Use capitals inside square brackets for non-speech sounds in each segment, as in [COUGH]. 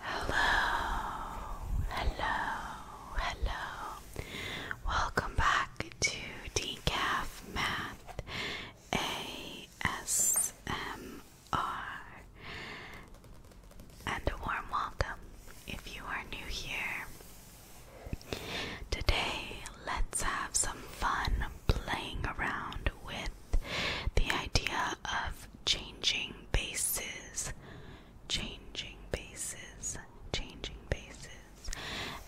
Hello, hello, hello. Welcome back to Decaf Math ASMR. And a warm welcome if you are new here. Today, let's have some fun playing around with the idea of changing bases, changing bases, changing bases.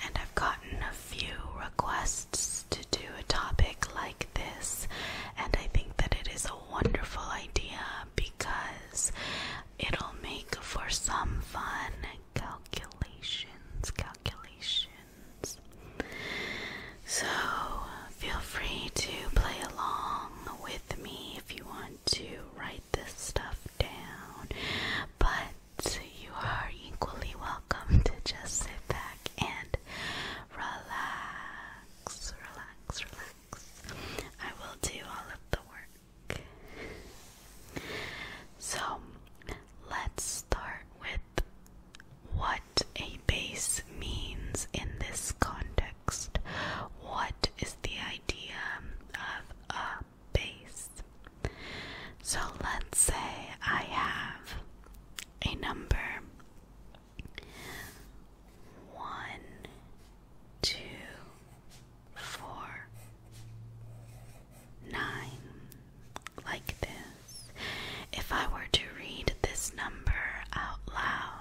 And I've gotten a few requests to do a topic like this, and I think that it is a wonderful idea because it'll make for some fun calculations, calculations. So feel free to play along with me if you want to write this stuff down. But you are equally welcome to just sit back and relax, relax, relax. I will do all of the work. So let's start with what a base means in this context. What is the idea of a base? So let's say I have a number one, two, four, nine, like this. If I were to read this number out loud,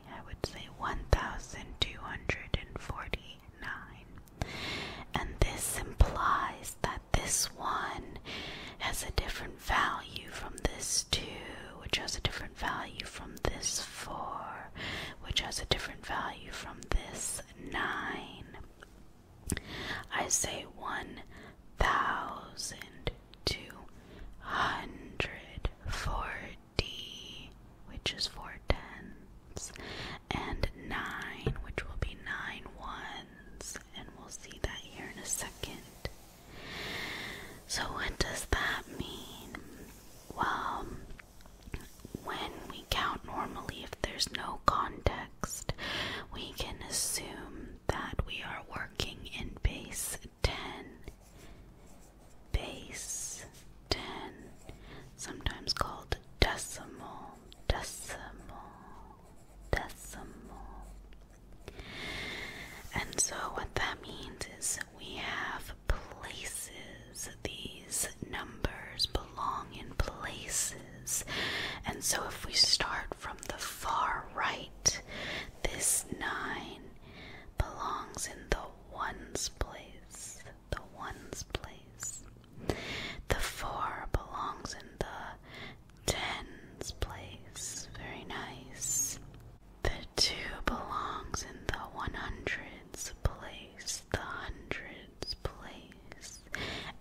I would say 1249. And this implies that this one has a different value from this 2, which has a different value from this 4, which has a different value from this 9. I say 1,249. D, which is four tens, and nine, which will be nine ones, and we'll see that here in a second. So, what does that mean? Well, when we count normally, if there's no context, we can assume that we are working in base 10 base 10, sometimes called decimal, decimal, decimal. And so, what that means is we have places, these numbers belong in places. And so, if we start from the far right, this 9 belongs in the ones place the ones place. The four belongs in the tens place. Very nice. The two belongs in the one hundreds place. The hundreds place.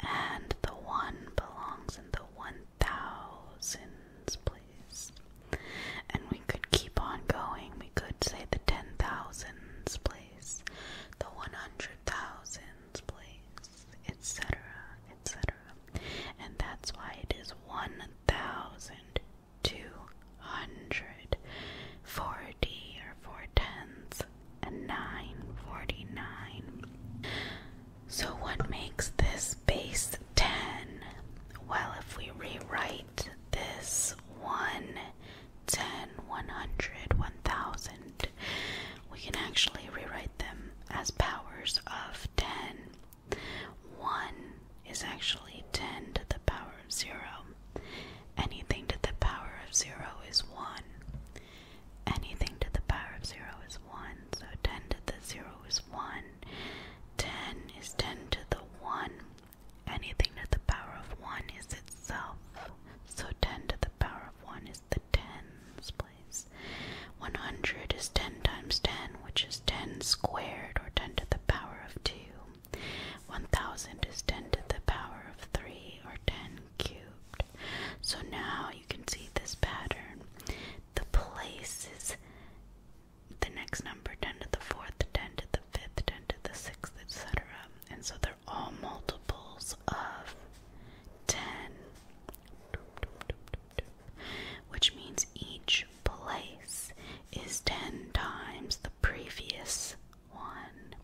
And the one belongs in the one thousands place. And we we could keep on going. We could say the ten thousands place, the one hundred thousands place, etc., etc. And that's why it is one thousand two hundred forty or four tens and nine forty nine. So, what makes this base 10? Well, if we rewrite this 1, 10, 100, 1000. We can actually rewrite them as powers of 10. 1 is actually 10 to the power of 0. Anything to the power of 0 is 1. Anything to the power of 0 is 1. So 10 to the 0 is 1. 10 is 10 to the 1. Anything to the power of 1 is itself. So 10 to the power of 1 is the tens place. 100 is 10 times 10, which is 10 squared, or 10 to the power of 2. 1000 is 10 to the power of 3, or 10 cubed. So now you can see this pattern. The places, is the next number 10 to the fourth, 10 to the fifth, ten the sixth, etc. And so they're all multiples of ten, which means each place is ten times the previous one.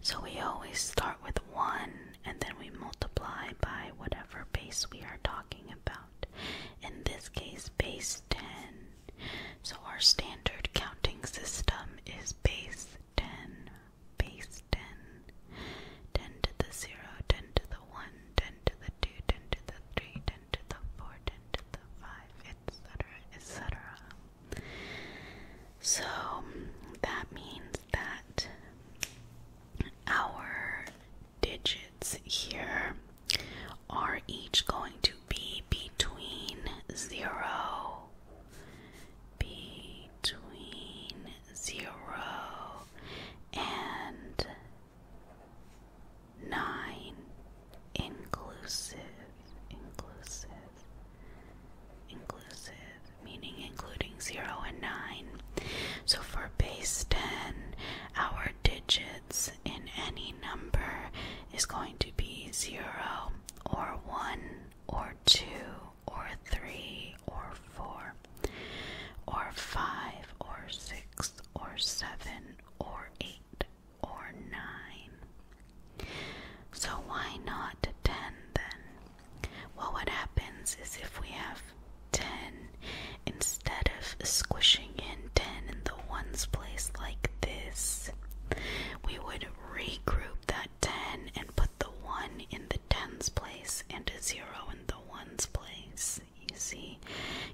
So we always start with one and then we multiply by whatever base we are talking about. In this case, base 10 so our standard counting system is base 10, base 10, to the 0, to the 1, to the 2, to the 3, to the 4, to the 5, etc., etc. So that means that our digits here are each going to be between zero, between zero and nine, inclusive, inclusive, inclusive, meaning including zero and nine. So for base 10, our digits in any number is going to be 0 or 1 or 2 or 3 or 4 or 5 or 6 or 7 or 8 or 9. So why not 10 then? Well, what happens is if we have 10 instead of squishing bring in 10 in the ones place like this, we would regroup that 10 and put the 1 in the tens place and a 0 in the ones place. You see,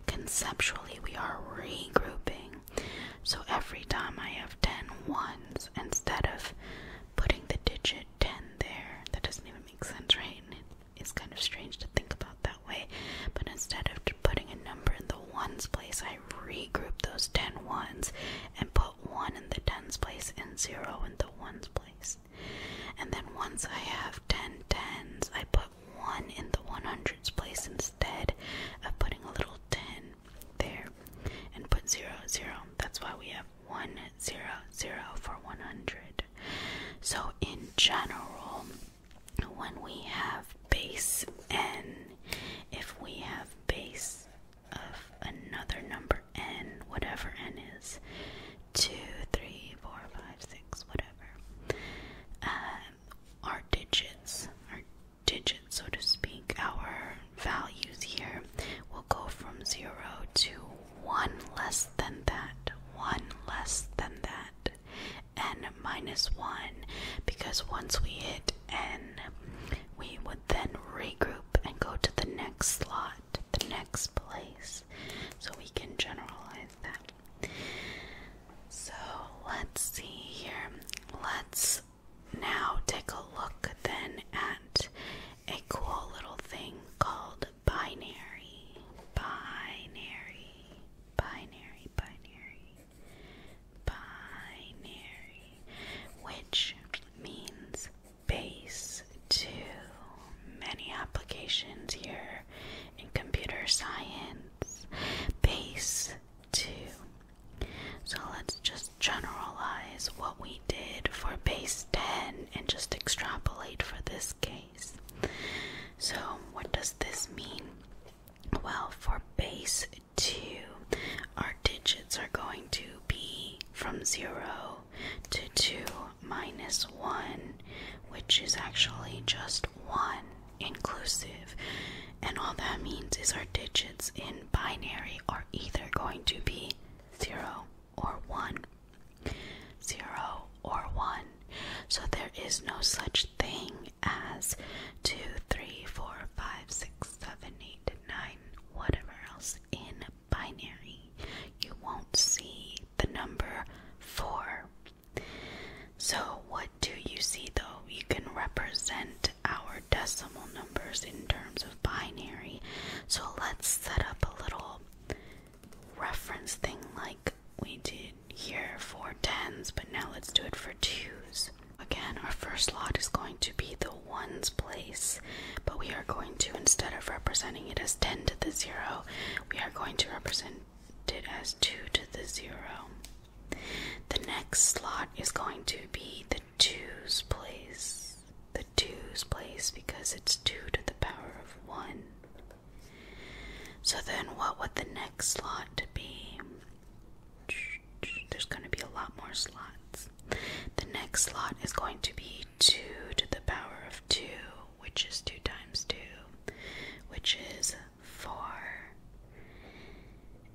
conceptually we are regrouping. So every time I have 10 ones, instead of putting the digit 10 there, that doesn't even make sense, right? It's kind of strange to think about that way. But instead of after putting a number in the ones place, I regroup those ten ones and put one in the tens place and zero in the ones place. And then once I have ten tens, I put one in the one hundreds place instead of putting a little ten there and put zero zero. That's why we have one zero zero for one hundred. So in general when we have base n, if we have base of another number n, whatever n is, 2, 3, 4, 5, 6, whatever, uh, our digits, our digits, so to speak, our values here will go from 0 to 1 less than that, 1 less than that n minus 1 because once we hit n, we would then regroup and go to the next slot, the next place. So we can generalize that. So let's see here. Let's now take a look then at a cool little thing called binary. Binary. Binary. Binary binary, which means base two, many applications here in computer science. Base two. So let's just generalize what we did for base 10 and just extrapolate for this case. So, what does this mean? Well, for base Two, our digits are going to be from 0 to 2 minus 1, which is actually just 1 inclusive. And all that means is our digits in binary are either going to be 0 or 1. 0 or 1. So there is no such thing as 2, 3, 4, 5, 6, 7, 8, 9, whatever else in binary, you won't see the number 4. So, what do you see though? You can represent our decimal numbers in terms of binary. So, let's set up a little reference thing like we did here for tens, but now let's do it for twos. Again, our first lot is going to be the ones place, but we are going to, instead of representing it as 10 to the 0, we are going to represent it as 2 to the 0. The next slot is going to be the twos place, the twos place because it's 2 to the power of 1. So then, what would the next slot be? There's going to be a lot more slots. The next slot is going to be 2 to the power of 2, which is 2 times 2, which is 4.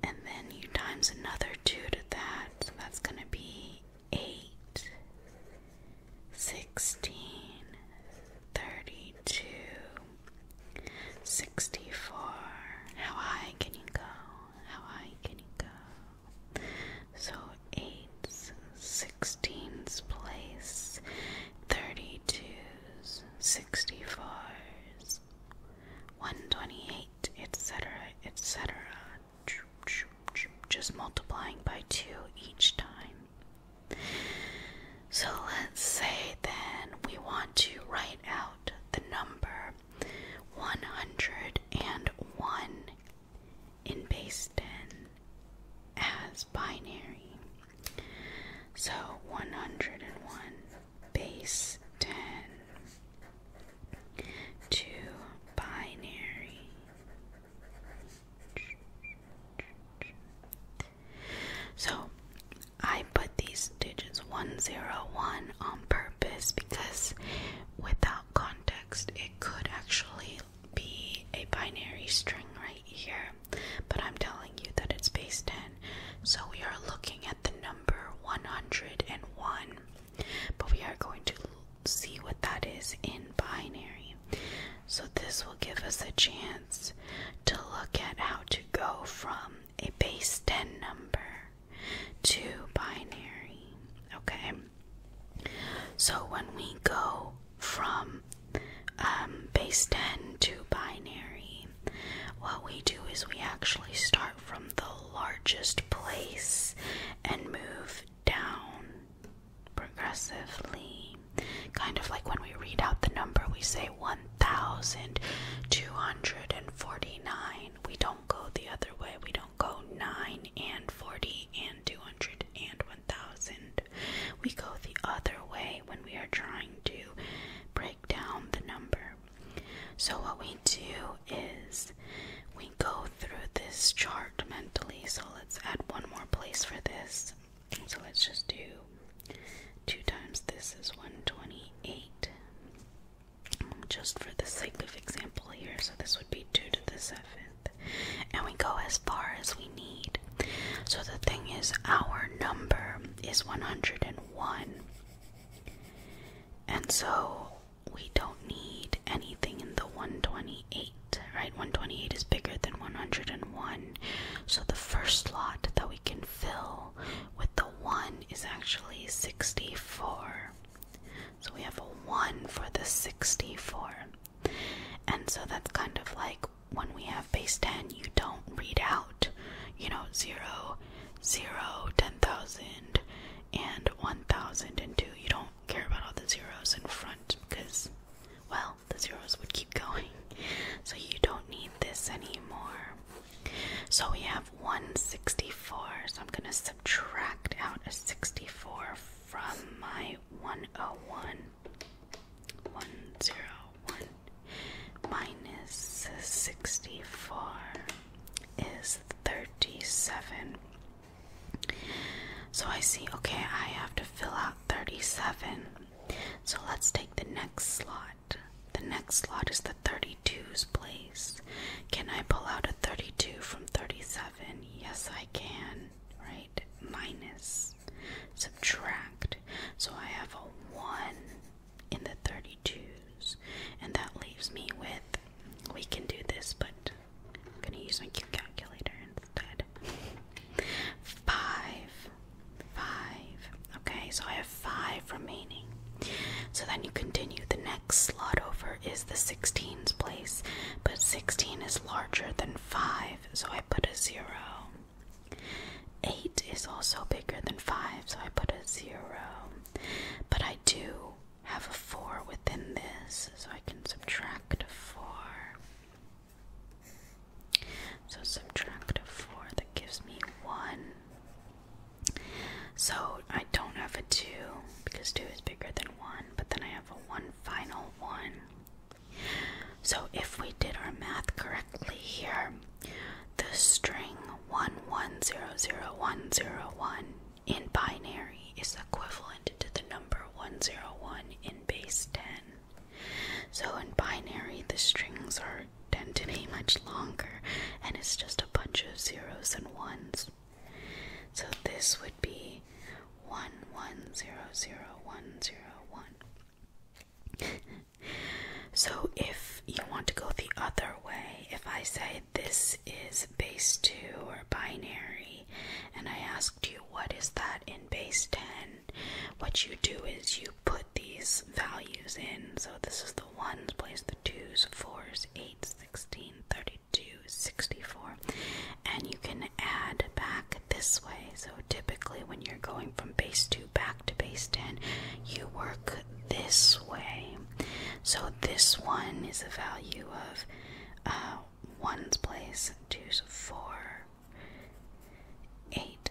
And then you times another 2 to that, so that's going to be 8, 16, 32, 64. How high can you go? How high can you go? So 8's, 16's place, 32's, 64's, 128, etc., etc. Just multiplying by 2 each time. So let's say then we want to write out the number 101 in base 10 as binary. So 101 base 10 to binary. So I put these digits 101 on purpose because without context, it could actually be a binary string right here. But I'm telling you that it's base 10. So we are looking at the number 101. But we are going to see what that is in binary. So this will give us a chance to look at how to go from a base 10 number to binary. Okay, so when we go from um, base 10 to binary, what we do is we actually start from the largest place and move down progressively. Kind of like when we read out the number, we say say 1,249. We don't go the other way. We don't go 9 and 40 and 200 and 1,000. We go the other way when we are trying to break down the number. So, what we do is we go through this chart mentally. So, let's add one more place for this. So, let's just do 2 times this is 128. Um, just for the sake of example here, so this would be 2 to the 7th. And we go as far as we need. So the thing is, our number is 101. And so we don't need anything in the 128, right? 128 is bigger than 101. So the first slot that we can fill with the 1 is actually 64. So we have a 1 for the 64. And so that's kind of like when we have base 10, you don't read out, you know, 0, 0, 10,000, and 1,002. You don't care about all the zeros in front because, well, the zeros would keep going. So you don't need this anymore. So we have 164. So I'm going to subtract out a 64 from my 101. 101 minus 64 is 37. So I see, okay, I have to fill out 37. So let's take the next slide. The next slot is the 32's place. Can I pull out a 32 from 37? Yes, I can, right? Minus, subtract. So I have a 1 in the 32's, and that leaves me with, we can do this, but I'm going to use my cute calculator instead. 5 five. Okay, so I have five remaining. So then you continue. The next slot over is the 16's place, but 16 is larger than 5, so I put a 0. 8 is also bigger than 5, so I put a 0. But I do have a 4 within this, so I can subtract a 4. So subtract a 4, that gives me 1. So I don't have a 2 because 2 is bigger than 1, but then I have a 1 final 1. So if we did our math correctly here, the string 1100101 in binary is equivalent to the number 101 in base 10. So in binary, the strings are than to be much longer, and it's just a bunch of zeros and ones. So this would be one one zero zero one zero one. [LAUGHS] so if you want to go the other way, if I say this is base two or binary, and I asked you what is that in base ten, what you do is you put these values in. So this is the 1s place the 2s, 4s, 8s, 16, 32, And you can add back this way. So typically when you're going from base 2 back to base 10, you work this way. So this one is a value of 1's uh, place, 2's 4, 8,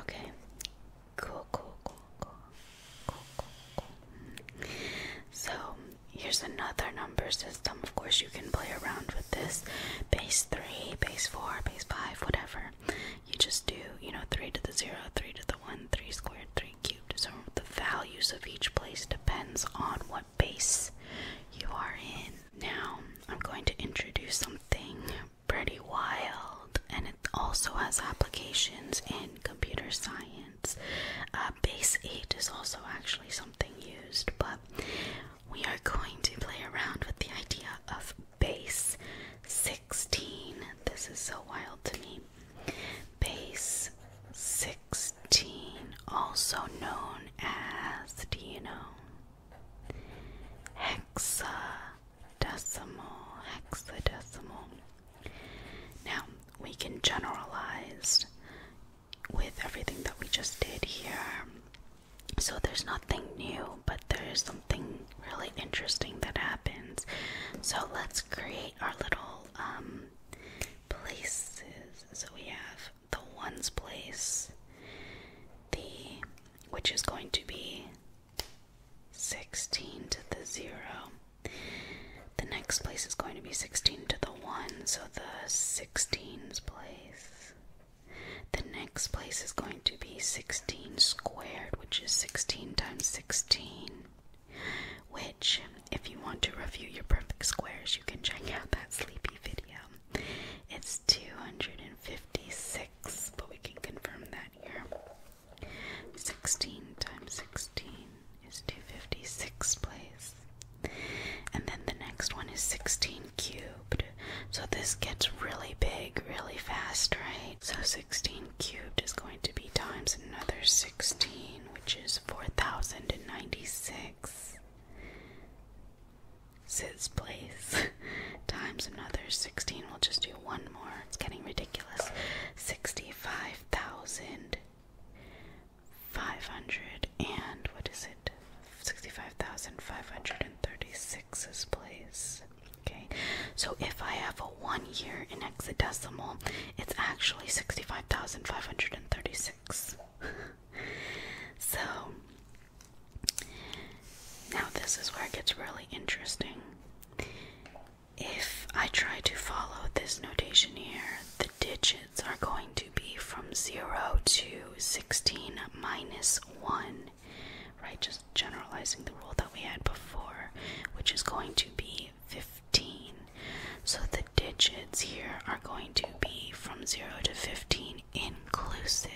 Okay. Cool, cool, cool, cool, cool, cool, So here's another number system. Of course, you can play around with this. Base three, base four, base five, whatever. You just do, you know, three to the zero, three to the one, three squared, three cubed. So the values of each place depends on what base you are in. Now, I'm going to introduce something pretty wild, and it also has applications in computer science. Uh, base 8 is also actually something used, but we are going to play around with the idea of base 16. This is so wild to me. Base 16, also known as, do you know? hexadecimal, hexadecimal. Now we can generalize with everything that we just did here. So there's nothing new, but there is something really interesting that happens. So let's create our little um, places. So we have the ones place, the which is going to be 16 to the 0. The next place is going to be 16 to the 1, so the 16's place. The next place is going to be 16 squared, which is 16 times 16. Which, if you want to review your perfect squares, you can check out that sleepy video. It's 256, but we can confirm that here. 16 times 16 is 256 place. And then the next one is 16 cubed. So this gets really big really fast, right? So 16 cubed is going to be times another 16, which is 4096. Sid's place [LAUGHS] times another 16. We'll just do one more. It's getting ridiculous. 65,500 and what is it? 65,536 is place. Okay, so if I have a one year in hexadecimal, it's actually 65,536. [LAUGHS] so now, this is where it gets really interesting. If I try to follow this notation here, the digits are going to be from 0 to 16 minus 1, right? Just generalizing the rule that we had before, which is going to be 15. So the digits here are going to be from 0 to 15 inclusive.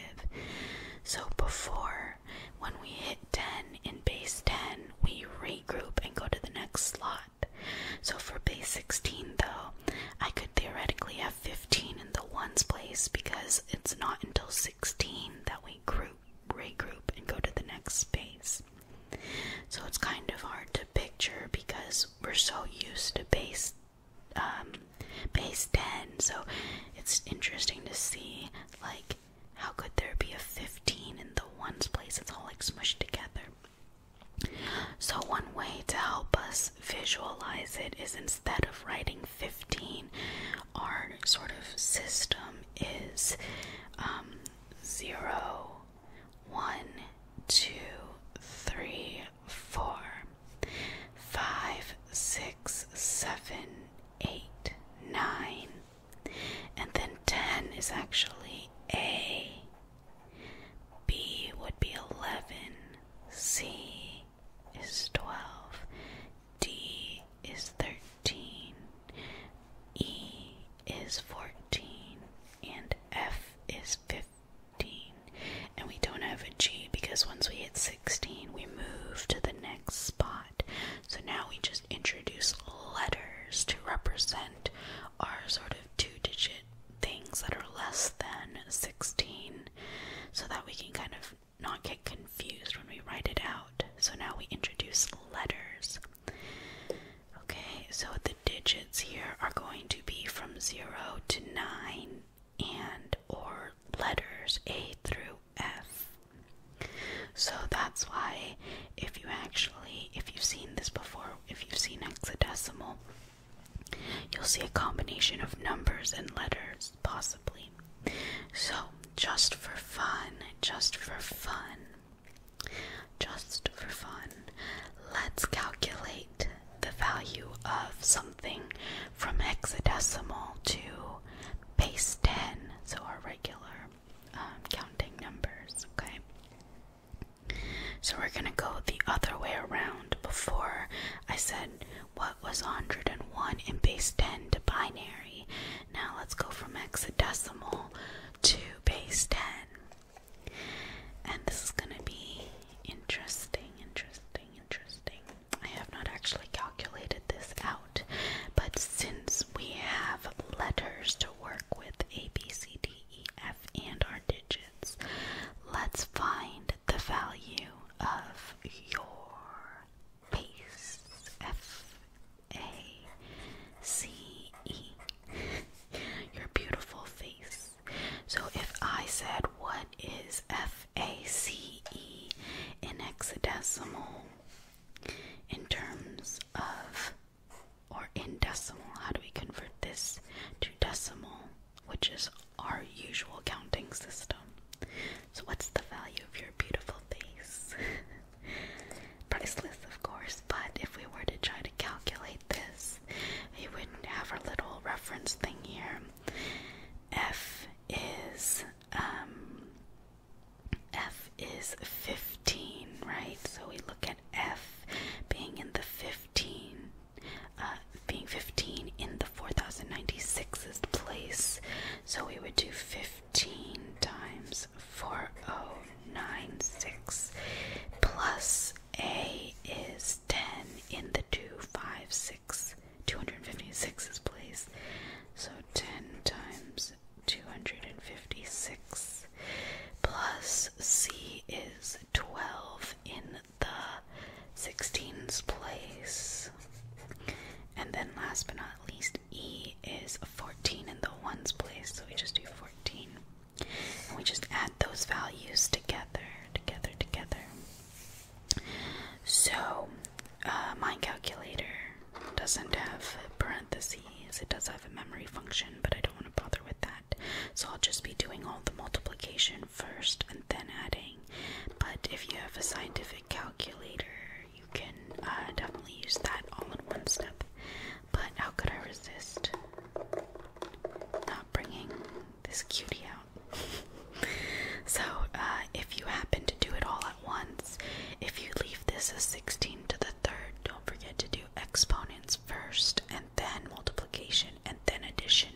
So before, when we hit 10 in base 10, we regroup and go to the next slot. So for base 16, though, I could theoretically have 15 in the ones place because it's not until 16 that we group, regroup, and go to the next space. So it's kind of hard to picture because we're so used to base um, base 10, so it's interesting to see, like, how could there be a 15 in the ones place? It's all like smushed together. So, one way to help us visualize it is instead of writing 15, our sort of system is um, 0, 1, 2, 3, four, five, six, seven, eight, nine, and then ten is actually A. B would be eleven, C is twelve, D is thirteen, E is fourteen, and F is fifteen and we don't have a G because once we hit 16, we move to the next spot. So now we just introduce letters to represent our sort of two digit things that are less than 16 so that we can kind of not get confused when we write it out. So now we introduce letters. Okay, so the digits here are going to be from 0 to 9 and or letters A through F. So that's why if you actually if you've seen this before, if you've seen hexadecimal, you'll see a combination of numbers and letters possibly. So just for fun, just for fun. Just for fun, let's calculate the value of something from hexadecimal to base 10, so our regular um, counting numbers, okay? So we're gonna go the other way around. Before I said what was 101 in base 10 to binary. Now let's go from hexadecimal to base 10. And this is gonna be interesting, interesting, interesting. I have not actually calculated this out, but since we have letters to work with A, B, C, D, E, F, and our digits, let's find the value of your face. F, A, C, E. [LAUGHS] Your beautiful face. So if I said, What is F A C E in hexadecimal in terms of or in decimal. How do we convert this to decimal, which is our usual counting system? So, what's the value of your beautiful face? [LAUGHS] Priceless, of course, but if we were to try to calculate this, we wouldn't have our little reference thing here. F is um, f is 15, right? So we look at f being in the 15, uh, being 15 in the 4096's place. So we would do 15 times 4096 plus a is 10 in the 256 256 is place. So 10 times 256 plus C is 12 in the 16's place. And then last but not least, E is 14 in the 1's place. So we just do 14. And we just add those values together, together, together. So, uh, my calculator doesn't have parentheses, it does have a memory function, but I don't want to bother with that. So, I'll just be doing all the multiplication first and then adding. But if you have a scientific calculator, you can uh, definitely use that all in one step. But how could I resist not bringing this cutie so, uh, if you happen to do it all at once, if you leave this as 16 to the third, don't forget to do exponents first and then multiplication and then addition,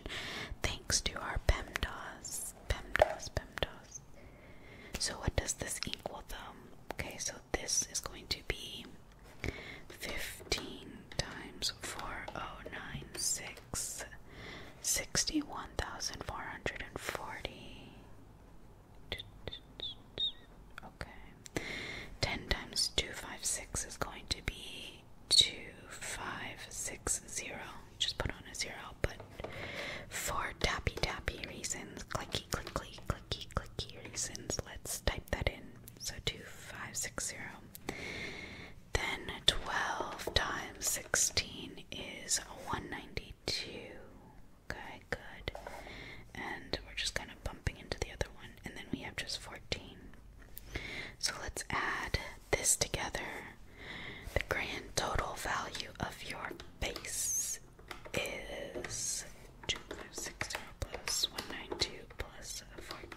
thanks to our PEMDAS. PEMDAS, PEMDAS. So, what does this equal though? Okay, so this is going to be 15 times 4096 six sixty one thousand four hundred and forty. Okay. Ten times two five six is going to be two five six zero. Just put on a zero, but for tappy tappy reasons, clicky clicky clicky clicky reasons, let's type that in. So two five six zero. Then 12 times 16 is 192. Okay, good. And we're just kind of bumping into the other one. And then we have just 14. So let's add this together. The grand total value of your base is 260 plus 192 plus 14.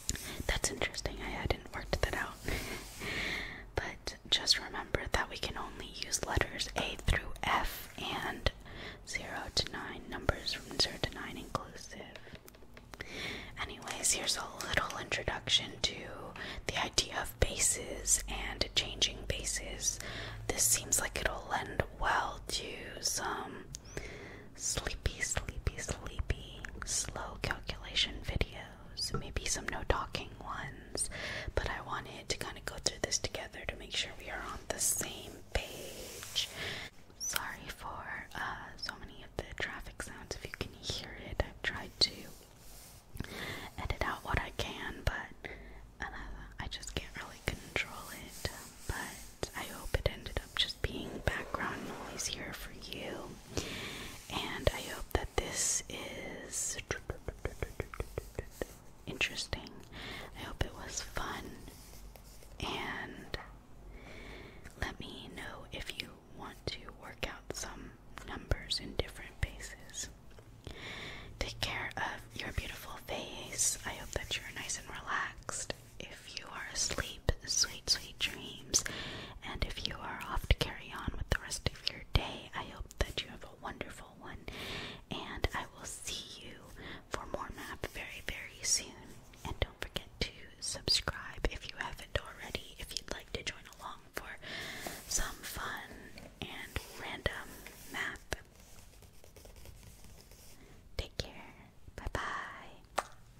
That's interesting. I hadn't worked that out. but just remember that we can only use letters A through F and 0 to 9, numbers from 0 to 9 inclusive. Anyways, here's a little introduction to the idea of bases and changing bases. This seems like it'll lend well to some Sleepy, sleepy, sleepy. Slow calculation videos. Maybe some no talking ones. But I wanted to kind of go through this together to make sure we are on the same page. Sorry for uh, so many of the traffic sounds. If you can hear it, I've tried to edit out what I can, but. Uh, I, just can't really control it, but I hope it ended up just being background noise here for you. And I hope that this is interesting. I hope it was fun. And let me know if you want to work out some numbers in different bases. Take care of your beautiful face. I hope that you're nice and relaxed. If you are asleep, sweet, sweet dreams. And if you are off to carry on with the rest of your day, I hope that you have a wonderful one. And I will see you for more map very, very soon. And don't forget to subscribe if you haven't already, if you'd like to join along for some fun and random map. Take care. Bye bye.